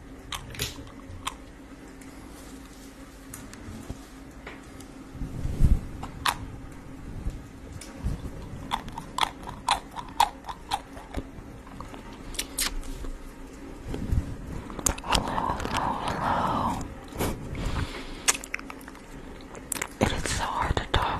Hello, hello, It is so hard to talk.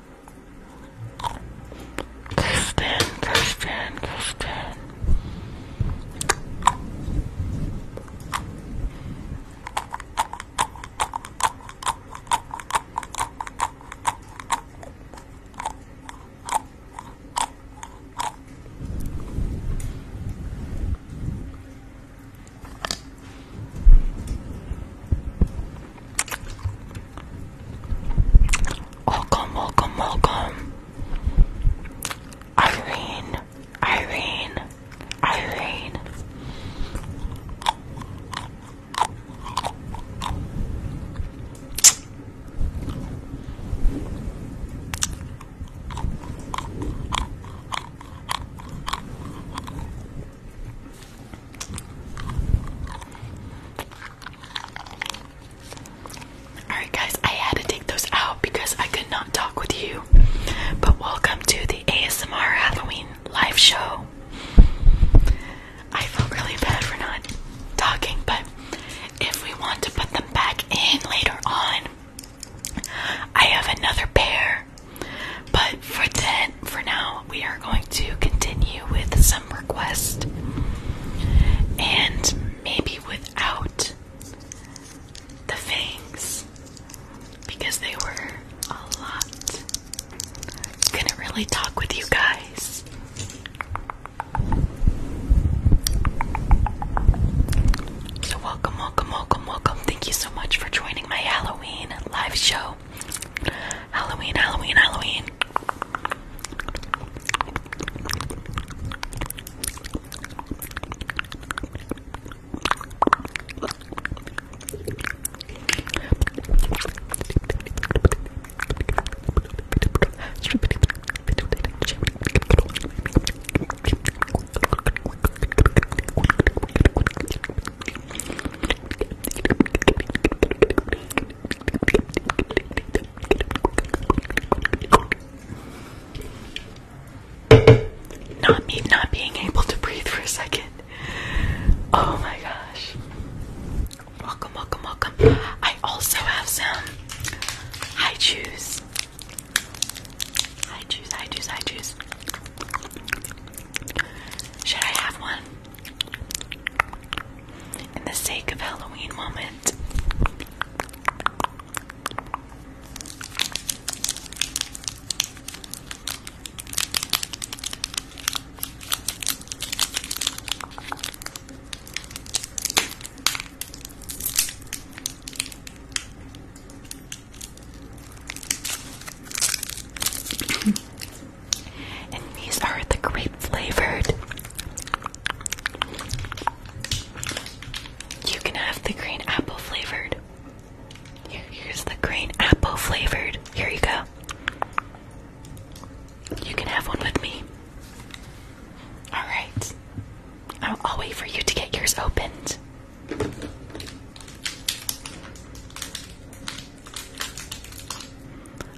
Kristen, Kristen, Kristen. Welcome, welcome, welcome. Irene, Irene, Irene. Alright, guys, I had to take those out because I could not talk with you. But welcome to the ASMR Halloween live show. I feel really bad for not talking, but if we want to put them back in later on, I have another pair but for ten, for now, we are going to continue with some requests, and maybe without the fangs because they were a lot. I couldn't really talk with you guys. So welcome, welcome, welcome, welcome. Thank you so much for joining my Halloween live show. Halloween, Halloween, Halloween. Not me not being able to breathe for a second. Oh my gosh. Welcome, welcome, welcome. I also have some high juice. High juice, high juice, high juice. Should I have one? in the sake of Halloween moment. And these are the grape flavored. You can have the green apple flavored. Here, here's the green apple flavored. Here you go. You can have one with me. Alright. I'll wait for you to get yours opened.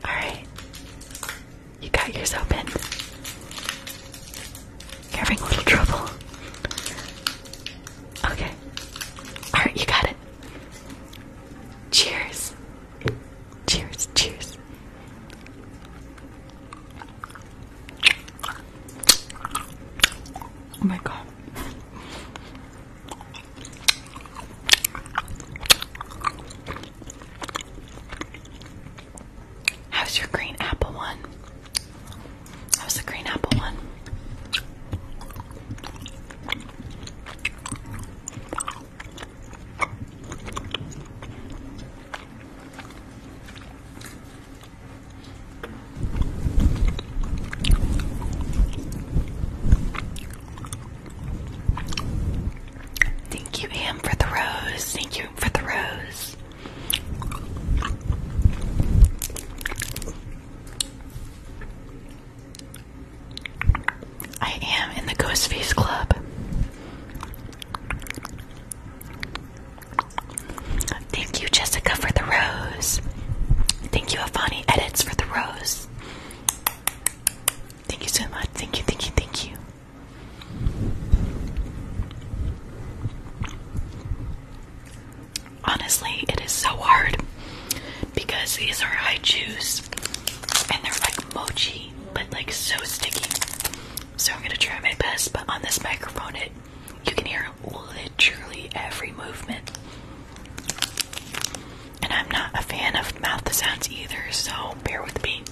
Alright. You got yours open. You're having a little trouble. Okay. Alright, you got it. Cheers. Cheers, cheers. Oh my god. How's your green apple one? How's the green apple one? Thank you, Am, for the rose. Thank you for the rose. I am in the Ghost Face Club. Thank you, Jessica, for the rose. Thank you, Afani Edits, for the rose. Thank you so much. Thank you, thank you, thank you. Honestly, it is so hard because these are juice, and they're like mochi, but like so sticky. So I'm gonna try my best, but on this microphone, it you can hear literally every movement. And I'm not a fan of mouth sounds either, so bear with me.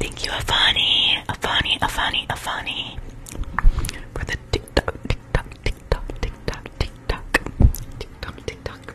Thank you, Afani, Afani, Afani, Afani for the TikTok, TikTok, TikTok, TikTok, TikTok, TikTok, TikTok.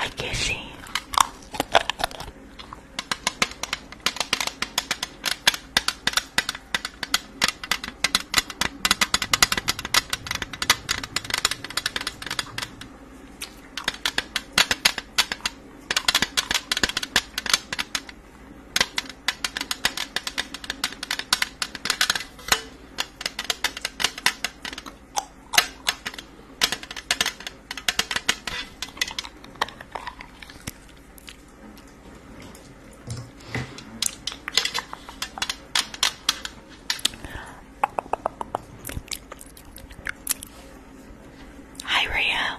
I guess see. Hi Ria.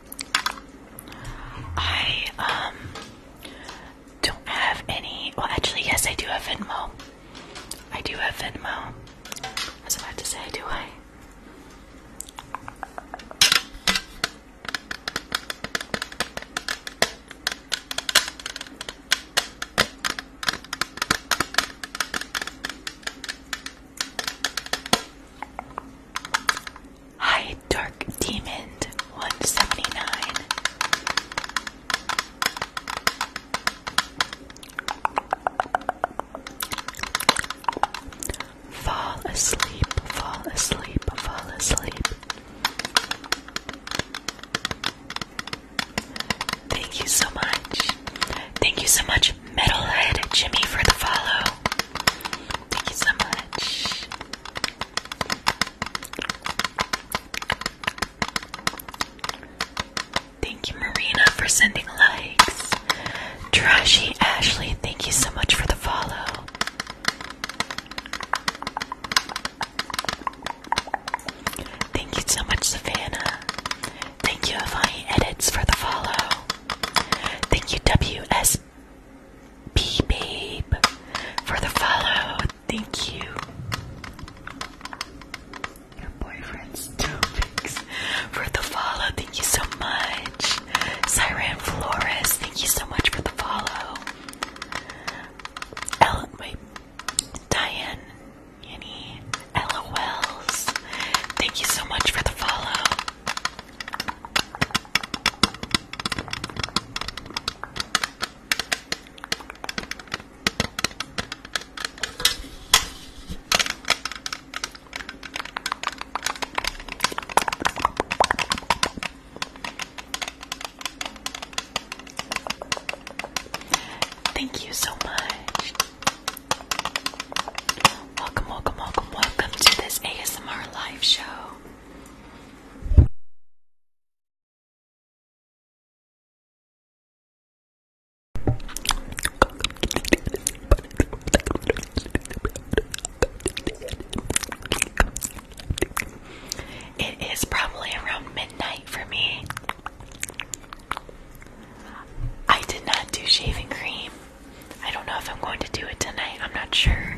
I um don't have any. Well, actually, yes, I do have Venmo. I do have Venmo. I was about to say, do I? Hi, Dark Demon 179. Fall asleep, fall asleep, fall asleep. Thank you so much. Thank you so much, Metalhead Jimmy, for the follow. Thank you so much. Thank you, Marina, for sending likes. Trashy Ashley, thank you so much for the follow. Thank you so much, Savannah. Thank you, Avani Edits, for the follow. Thank you, W S babe for the follow. Thank you. Your boyfriend's topics for the follow. Thank you so much. Siren Flores, thank you so much for the follow. Ellen, wait, Diane, Yanni, LOLs, thank you so much for the follow. Thank you so much. Welcome, welcome, welcome, welcome to this ASMR live show. It is probably around midnight for me. I did not do shaving cream. I don't know if I'm going to do it tonight. I'm not sure.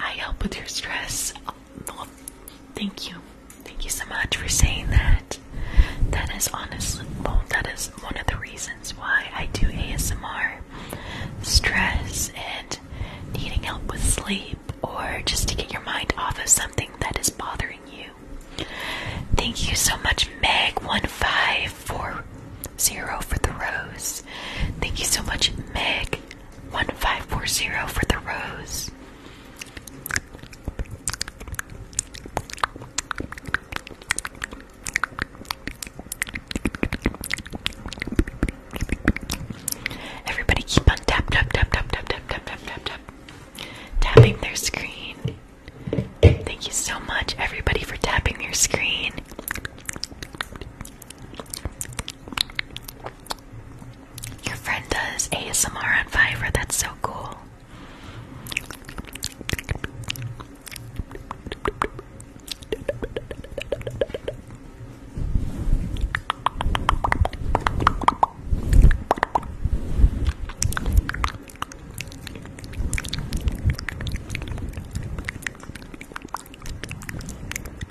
I help with your stress. thank you. Thank you so much for saying that. That is honestly, that is one of the reasons why I do ASMR. Stress and needing help with sleep, or just to get your mind off of something that is bothering you. Thank you so much, Meg1540 for the rose. Thank you so much, Meg. 1540 for the rose. Everybody keep on tap tap tap tap tap tapping their screen. Thank you so much everybody for tapping your screen. Your friend does ASMR on Fiverr, that's so cool.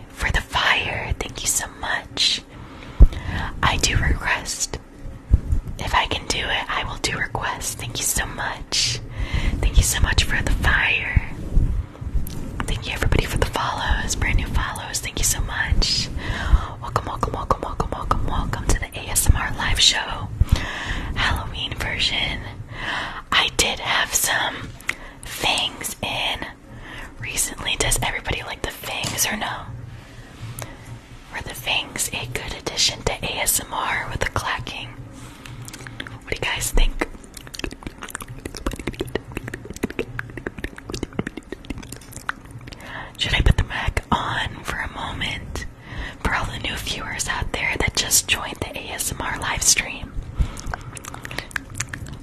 Nick, for the fire. Thank you so much. I do request. If I can do it, I will do requests. Thank you so much. Thank you so much for the fire. Thank you everybody for the follows, brand new follows. Thank you so much. Welcome, welcome, welcome, welcome, welcome, welcome to the ASMR live show. Halloween version. I did have some things in recently. Does everybody like the fangs or no? Were the fangs a good addition to ASMR with the clacking? What do you guys think? Should I put the mic on for a moment for all the new viewers out there that just joined the ASMR live stream?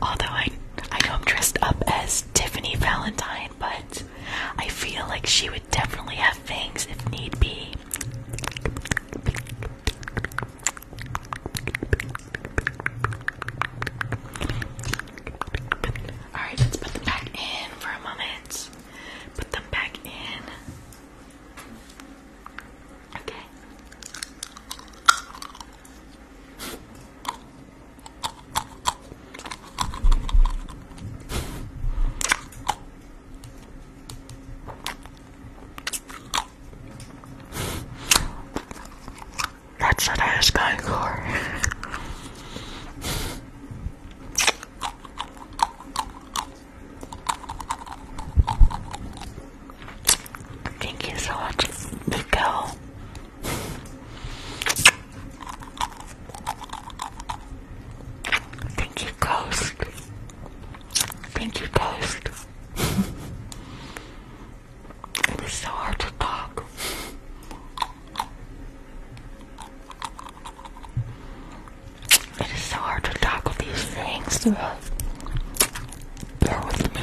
Although I I know I'm dressed up as Tiffany Valentine, but I feel like she would definitely have fangs if need be. Alright, let's put them back in for a moment. Put them back in. Okay. That's what I was going for. Thank you so much, Nico. Thank you, Ghost. Thank you, Ghost. it is so hard to talk. It is so hard to talk these things. Bear with me.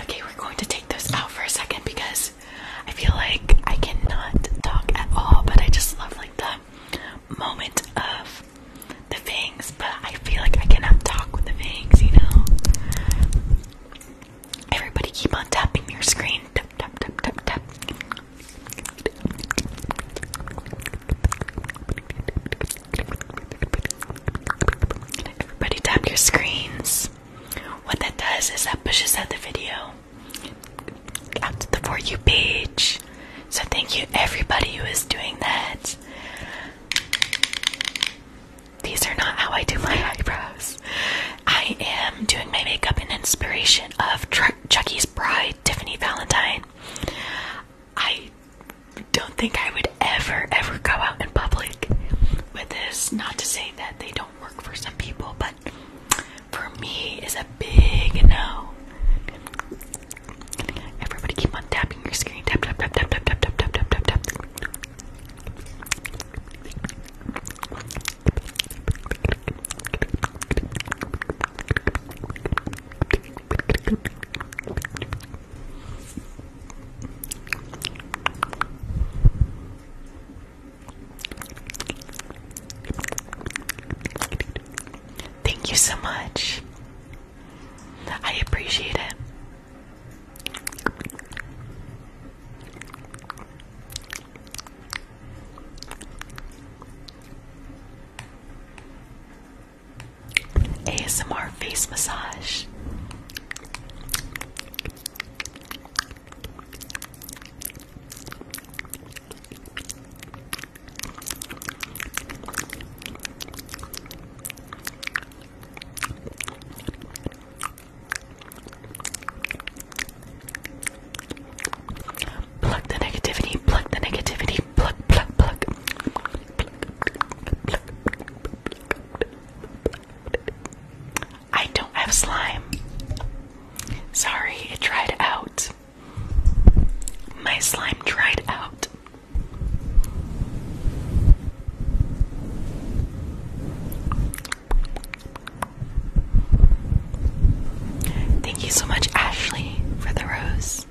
Okay, we're going to take this out for a second because I feel like I cannot talk at all, but I just love like the moment of the fangs. but I feel like I cannot talk with the fangs, you know? Everybody keep on tapping your screen. Tap, tap, tap, tap, tap. Everybody tap your screens. What that does is that pushes out the video out to the For You page. So thank you everybody who is doing that. These are not how I do my eyebrows. I am doing my makeup in inspiration of Chuckie's bride, Tiffany Valentine. I don't think I would ever, ever go out in public with this. Not to say that they don't work for some people, but for me it's a big no. Everybody keep on tapping your screen. tap tap tap tap tap tap tap tap tap tap. Thank you so much. I appreciate it. ASMR face massage. Pluck the negativity, pluck the negativity, pluck, pluck, pluck. pluck, I don't have slime. Sorry, it dried out. My slime dried out. Thank you so much, Ashley, for the rose.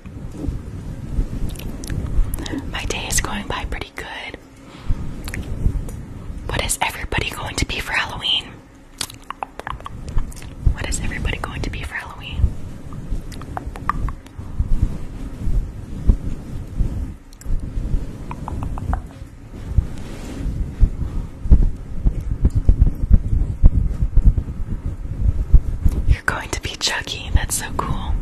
My day is going by pretty good. What is everybody going to be for Halloween? What is everybody going to be for Halloween? You're going to be Chucky. That's so cool.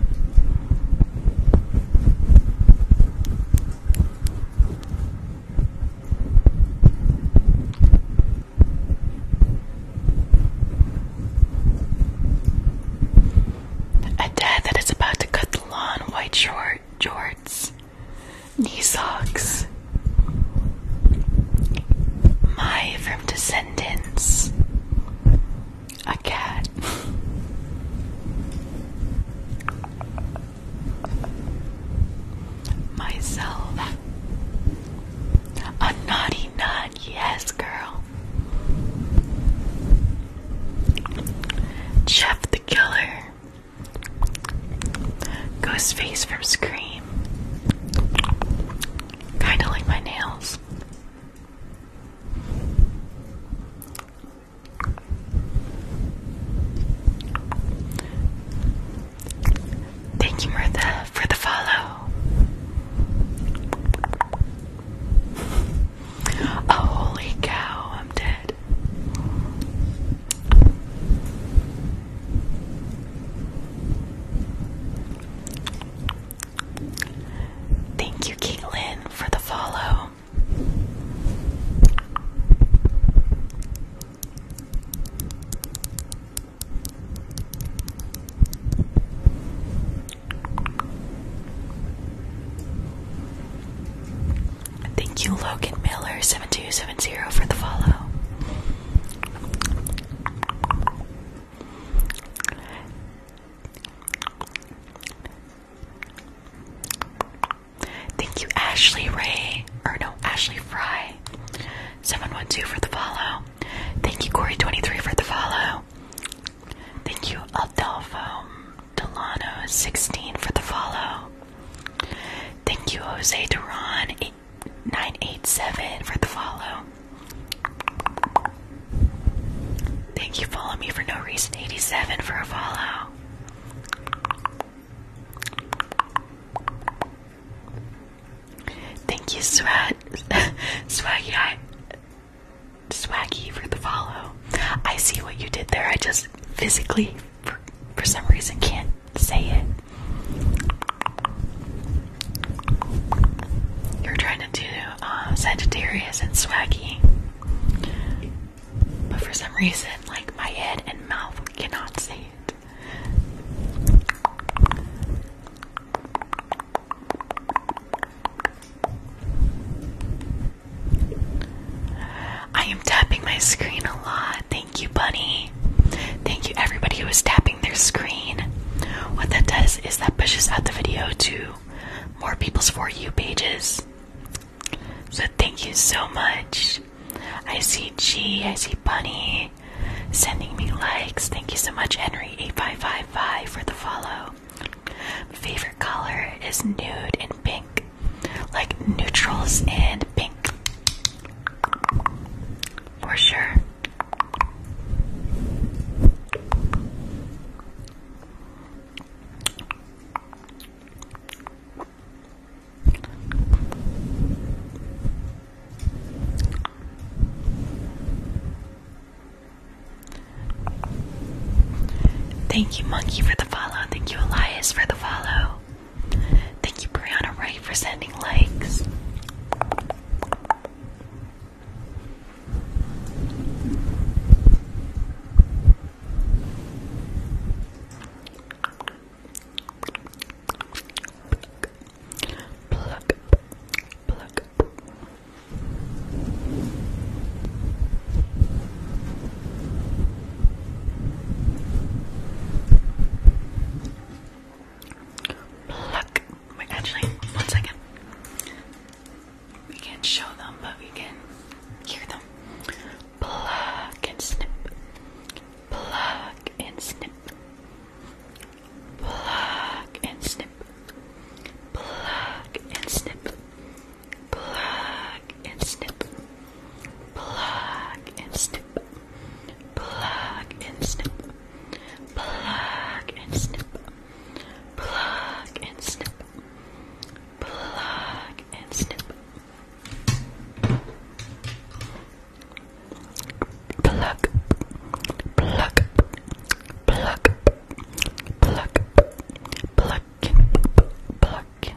A dad that is about to cut the lawn, white short jorts knee socks. My from Descendants. A cat. Myself. A naughty nun, yes, girl. Jeff the Killer. Ghost face from Scream. Kinda like my nails. Thank you, Martha, for the follow. Oh, holy cow, I'm dead. Thank you, Caitlin, for the follow. Thank you, Logan Miller, 7270, for the follow. Thank you, Ashley Ray. Or no, Ashley Fry. 712 for the follow. Thank you, Corey23 for the follow. Thank you, Adolfo Delano16 for the follow. Thank you, Jose Duran, 987 for the follow. Thank you, follow me for no reason. 87 for a follow. Thank you, Swag Swaggy I Swaggy for the follow. I see what you did there. I just physically for, some reason can't say it. You're trying to do uh, Sagittarius and Swaggy, but for some reason, like my head and mouth cannot say it. I am tapping my screen a lot. Thank you, Bunny. Thank you, everybody who is tapping their screen. What that does is that pushes out the video to more people's For You pages. So, thank you so much. I see G, I see Bunny sending me likes. Thank you so much, Henry8555, for the follow. Favorite color is nude and pink, like neutrals and pink. For sure. Thank you, Monkey, for the follow. Thank you, Elias, for the follow. Thank you, Brianna Ray, for sending likes. Pluck, pluck. Pluck. Wait, actually, one second. We can't show them, but we can hear them. Pluck and snip. Pluck and snip. Pluck and snip. Pluck and snip. Pluck and snip. Pluck and snip. Plug and snip. Plug and snip. Plug and snip. Plug and snip. Plug. Plug. Plug. Plug. Plug. Plug. Plug.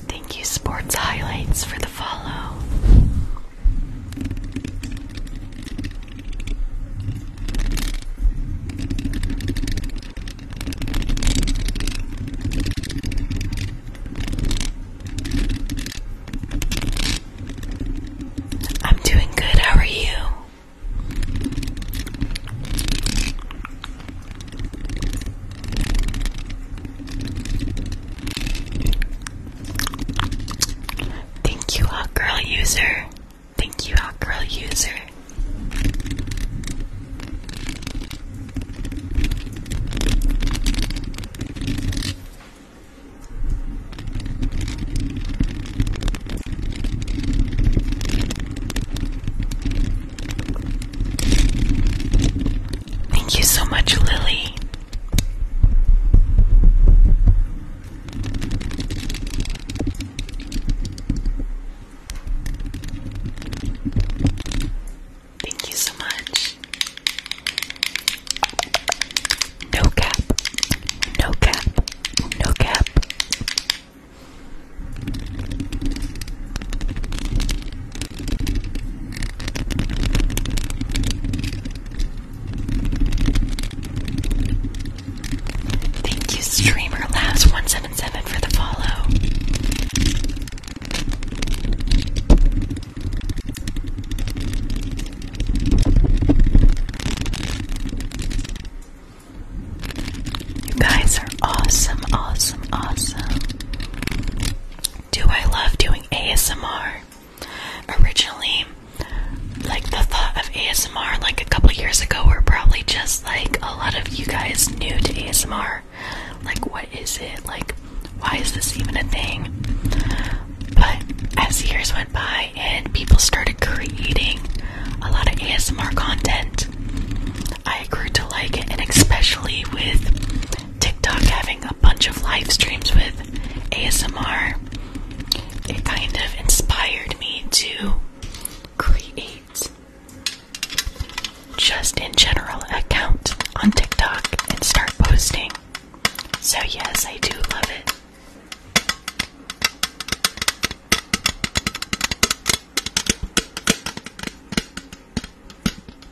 Thank you, Sports Highlights, for the follow. I'm doing good. How are you? Thank you, hot girl user. Thank you, hot girl user. Thank you so much, Lily. Thank you so much. No cap, no cap, no cap. Thank you, Streamer Labs one seven seven for the follow. You guys are awesome, awesome, awesome do I love doing ASMR? Originally, like the thought of ASMR like a couple years ago were probably just like a lot of you guys new to ASMR. Like what is it? Like why is this even a thing? But as years went by and people started creating a lot of ASMR content, I grew to like it and especially with TikTok having a bunch of live streams with ASMR, it kind of inspired me to create just in general account on TikTok and start posting. So yes, I do love it.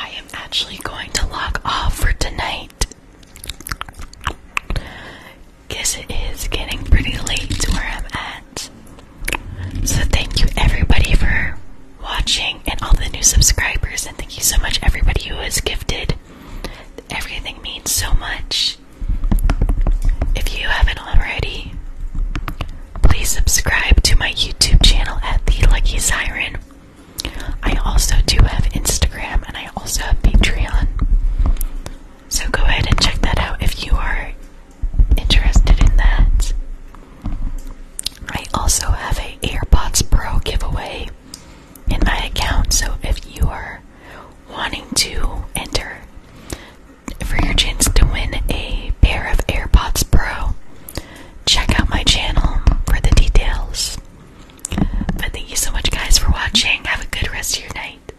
I am actually going to lock off for tonight. Guess it is getting pretty late where I'm at. So thank you everybody for watching and all the new subscribers. And thank you so much, everybody who has gifted. Everything means so much. If you haven't already, please subscribe to my YouTube channel at The Lucky Siren. I also do have Instagram and I also have Patreon. So go ahead and check that out if you are interested in that. I also have a AirPods Pro giveaway in my account, so if you are wanting to enter for your chance to win a pair of AirPods Pro, check out my channel for the details. But thank you so much guys for watching. Have a good rest of your night.